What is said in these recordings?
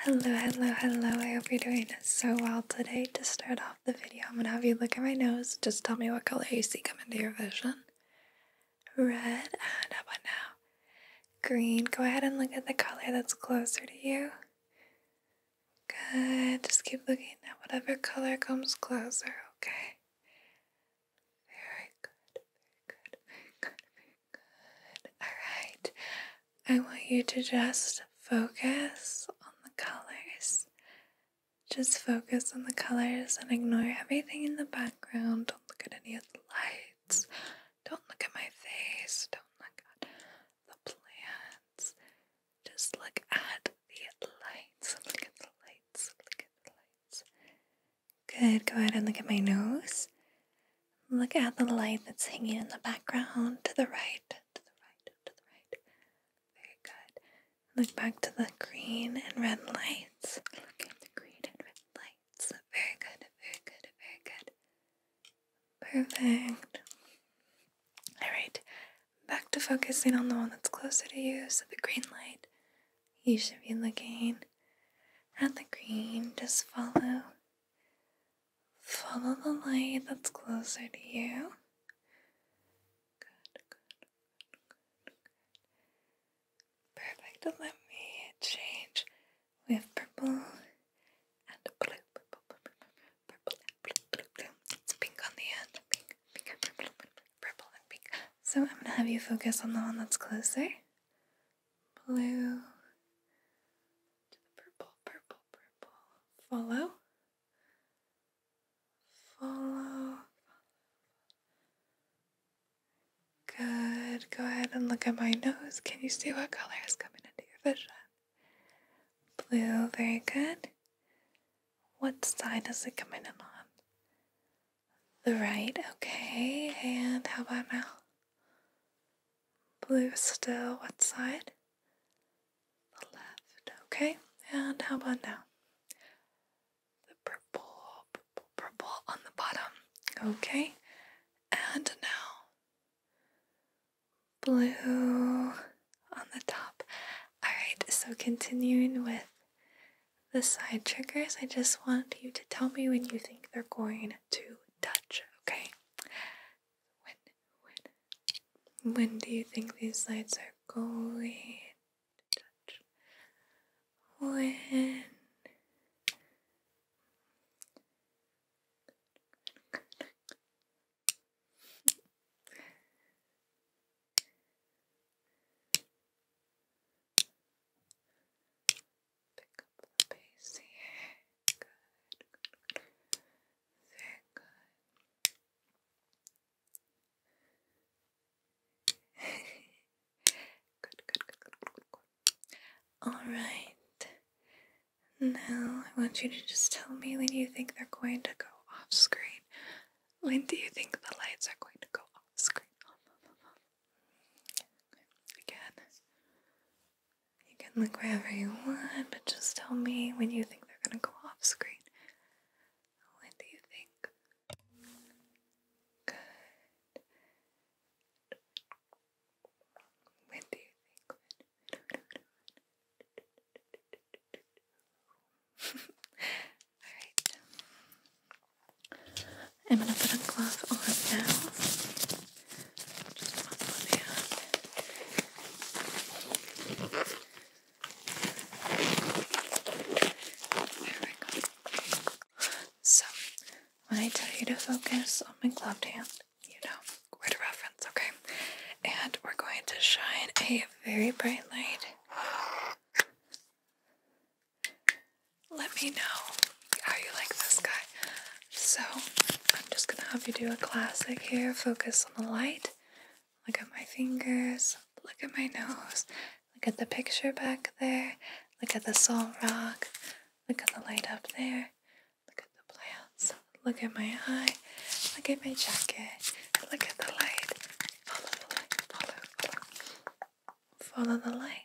Hello, hello, hello. I hope you're doing so well today. To start off the video, I'm gonna have you look at my nose. Just tell me what color you see coming to your vision. Red, and how about now? Green. Go ahead and look at the color that's closer to you. Good. Just keep looking at whatever color comes closer, okay? Very good, very good, very good, very Good. All right. I want you to just focus on the colors. Just focus on the colors and ignore everything in the background. Don't look at any of the lights. Don't look at my face. Don't look at the plants. Just look at the lights. Look at the lights. Look at the lights. Good. Go ahead and look at my nose. Look at the light that's hanging in the background to the right, to the right, to the right. Very good. Look back to the green and red lights. Look at the green and red lights. Very good, very good, very good. Perfect. Alright, back to focusing on the one that's closer to you, so the green light. You should be looking at the green. Just follow Follow the light that's closer to you. Good, good, good, good, Perfect. Let me change. We purple and blue. Purple, purple, purple, purple, blue, blue, blue. It's pink on the end. Pink, pink, purple, purple, purple, and pink. So I'm gonna have you focus on the one that's closer blue to the purple, purple, purple. Follow, follow, Good. Go ahead and look at my nose. Can you see what color is coming into your vision? Blue. Very good. What side is it coming in on? The right. Okay. And how about now? Blue still what side? The left. Okay, and how about now? The purple, purple, purple on the bottom. Okay, and now blue on the top. Alright, so continuing with the side triggers, I just want you to tell me when you think they're going to touch, okay? When, when, when do you think these lights are going touch? When? Alright. Now I want you to just tell me when you think they're going to go off screen. When do you think the lights are going to go off screen? Again, you can look wherever you want, but just tell me when you think they're gonna go off screen. When do you think? When do you think? Alright. I'm gonna put a glove on now. Just one on There we go. So, when I tell you to focus on my gloved hand, you know where to reference, okay? And we're going to shine a very bright light let me know how you like this guy. So, I'm just gonna have you do a classic here. Focus on the light. Look at my fingers. Look at my nose. Look at the picture back there. Look at the salt rock. Look at the light up there. Look at the plants. Look at my eye. Look at my jacket. Look at the light. Follow the light. Follow, the light.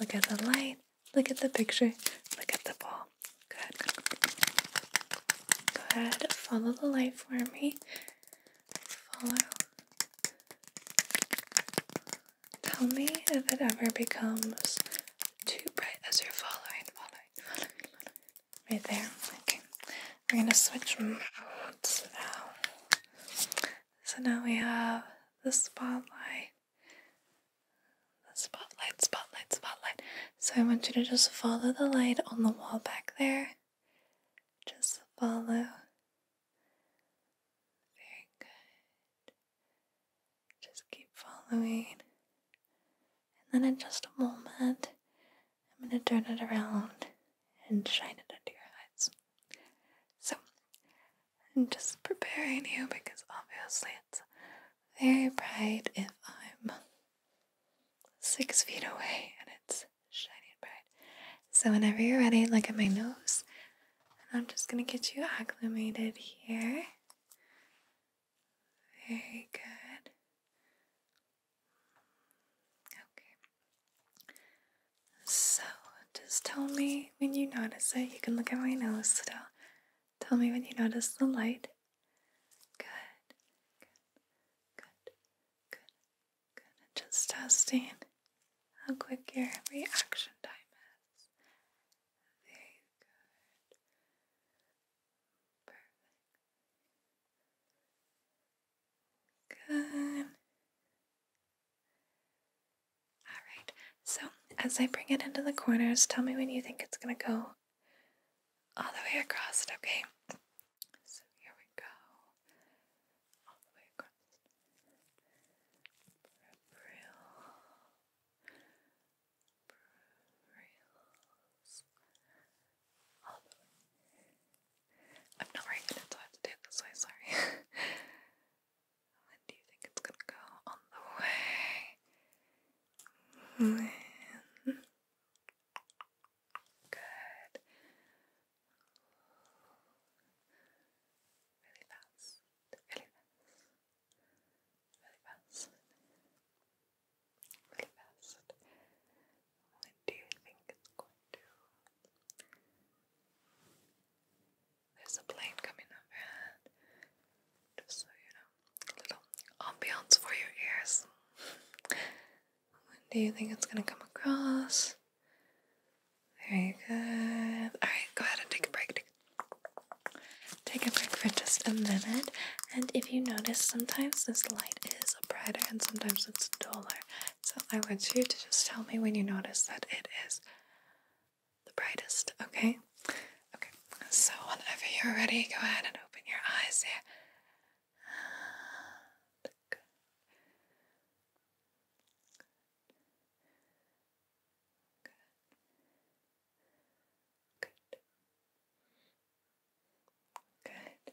Look at the light. Look at the picture. Look at the ball. Good. Go ahead. Follow the light for me. Follow. Tell me if it ever becomes too bright as you're following, following, Right there. Okay. We're gonna switch modes now. So now we have the spotlight. The spotlight, spotlight, spotlight. So I want you to just follow the light on the wall back there. Just follow. Very good. Just keep following. And then in just a moment, I'm going to turn it around and shine it under your eyes. So I'm just preparing you because obviously it's very bright if I'm six feet away and it's shining bright. So, whenever you're ready, look at my nose, and I'm just gonna get you acclimated here. Very good. Okay. So, just tell me me when you notice it. You can look at my nose still. Tell me when you notice the light. Good, good, good, good, good. And just testing how quick your reaction time is. Very good. Perfect. Good. Alright, so as I bring it into the corners, tell me when you think it's gonna go all the way across okay? So here we go. All the way across. I'm not very good at I have to do it this way, sorry. And do you think it's gonna go on the way? Good. Really fast. Really fast. Really fast. Really fast. When do you think it's going to? There's a plane coming overhead. Just so you know, a little ambiance for your ears. when do you think it's gonna come across? Very good. Alright, go ahead and take a break. Take a break for just a minute. And if you notice, sometimes this light is brighter and sometimes it's duller. So I want you to just tell me when you notice that it is the brightest, okay? Okay, so whenever you're ready, go ahead and open your eyes Good. Good. Good. Good.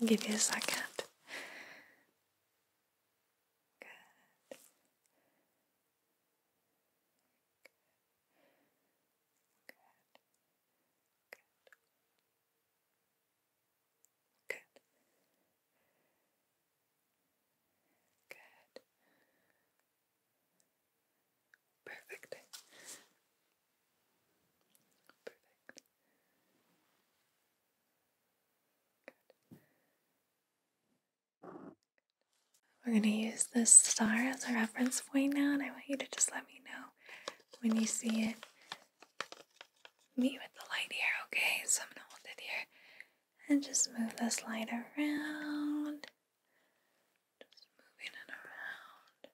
I'll give you a second. Good. Good. Good. Good. Good. Perfect. Perfect. We're going to use this star as a reference point now, and I want you to just let me know when you see it meet with the light here, okay? So I'm going to hold it here and just move this light around. Just moving it around.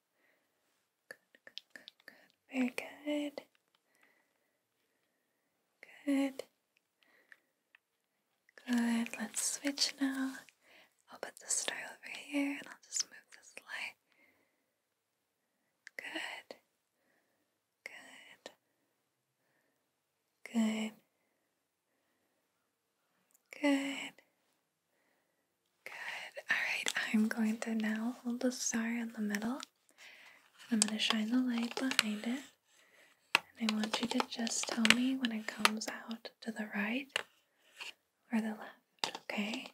Very good. Good. Good. Let's switch now. I'll put the star over here and I'll just move this light. Good. Good. Good. Good. Good. Alright, I'm going to now hold the star in the middle. I'm going to shine the light behind it. And I want you to just tell me when it comes out to the right or the left, okay?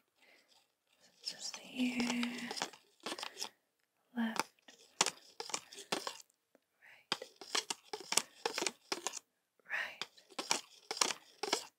So just here, left, right, right,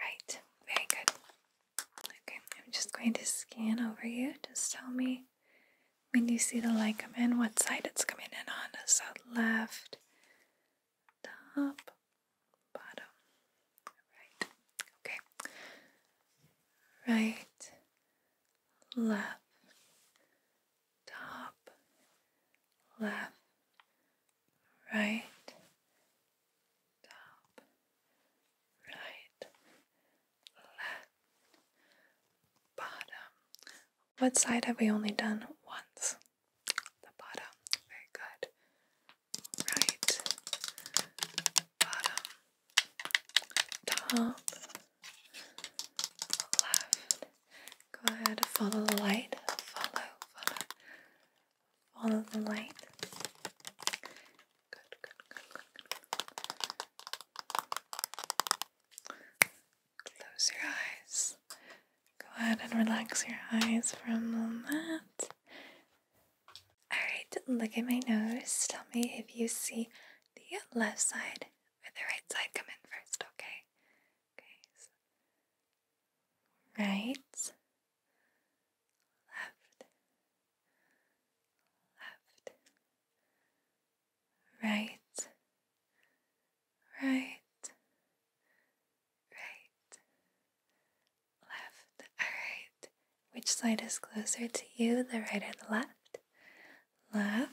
Right, very good. Okay, I'm just going to scan over you. Just tell me when you see the light come in, what side it's coming in on. Is that left, top, bottom, right. Okay. Right, left, top, left, right, top, right, left, bottom. What side have we only done once? The bottom. Very good. Right, bottom, top, left, Go ahead, and follow the light. Follow, follow, follow the light. Good, good, good, Close your eyes. Go ahead and relax your eyes for a moment. Alright, look at my nose. Tell me if you see the left side or the right side come in first, okay? Okay, right, left, left, right, right, right, left. Alright, which side is closer to you, the right or the left? Left,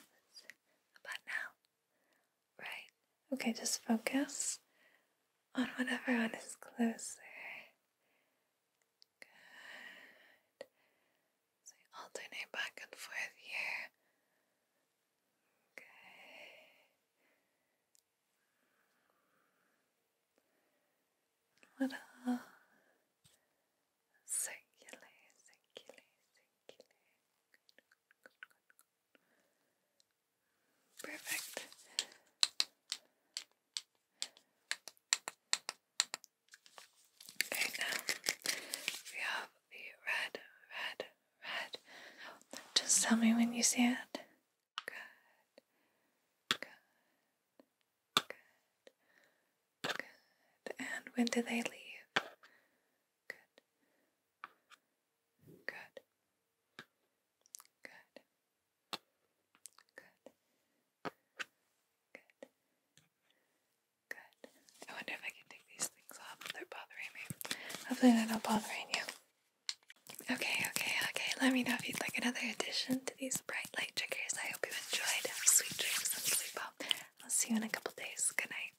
about now. Right. Okay, just focus on whatever one is closer. Good. So you alternate back and forth here. Okay. Little circular, circular, circular. Perfect. Okay, now we have the red, red, red. Just tell me when you see it. Good. Good. Good. Good. And when do they leave? Good. Good. Good. Good. Good. Good. I wonder if I can take these things off if they're bothering me. Hopefully they're not bothering you. Okay, okay, okay. Let me know if you'd like another addition to these bright light triggers. I hope you enjoyed. Have sweet dreams and sleep well. I'll see you in a couple days. Good night.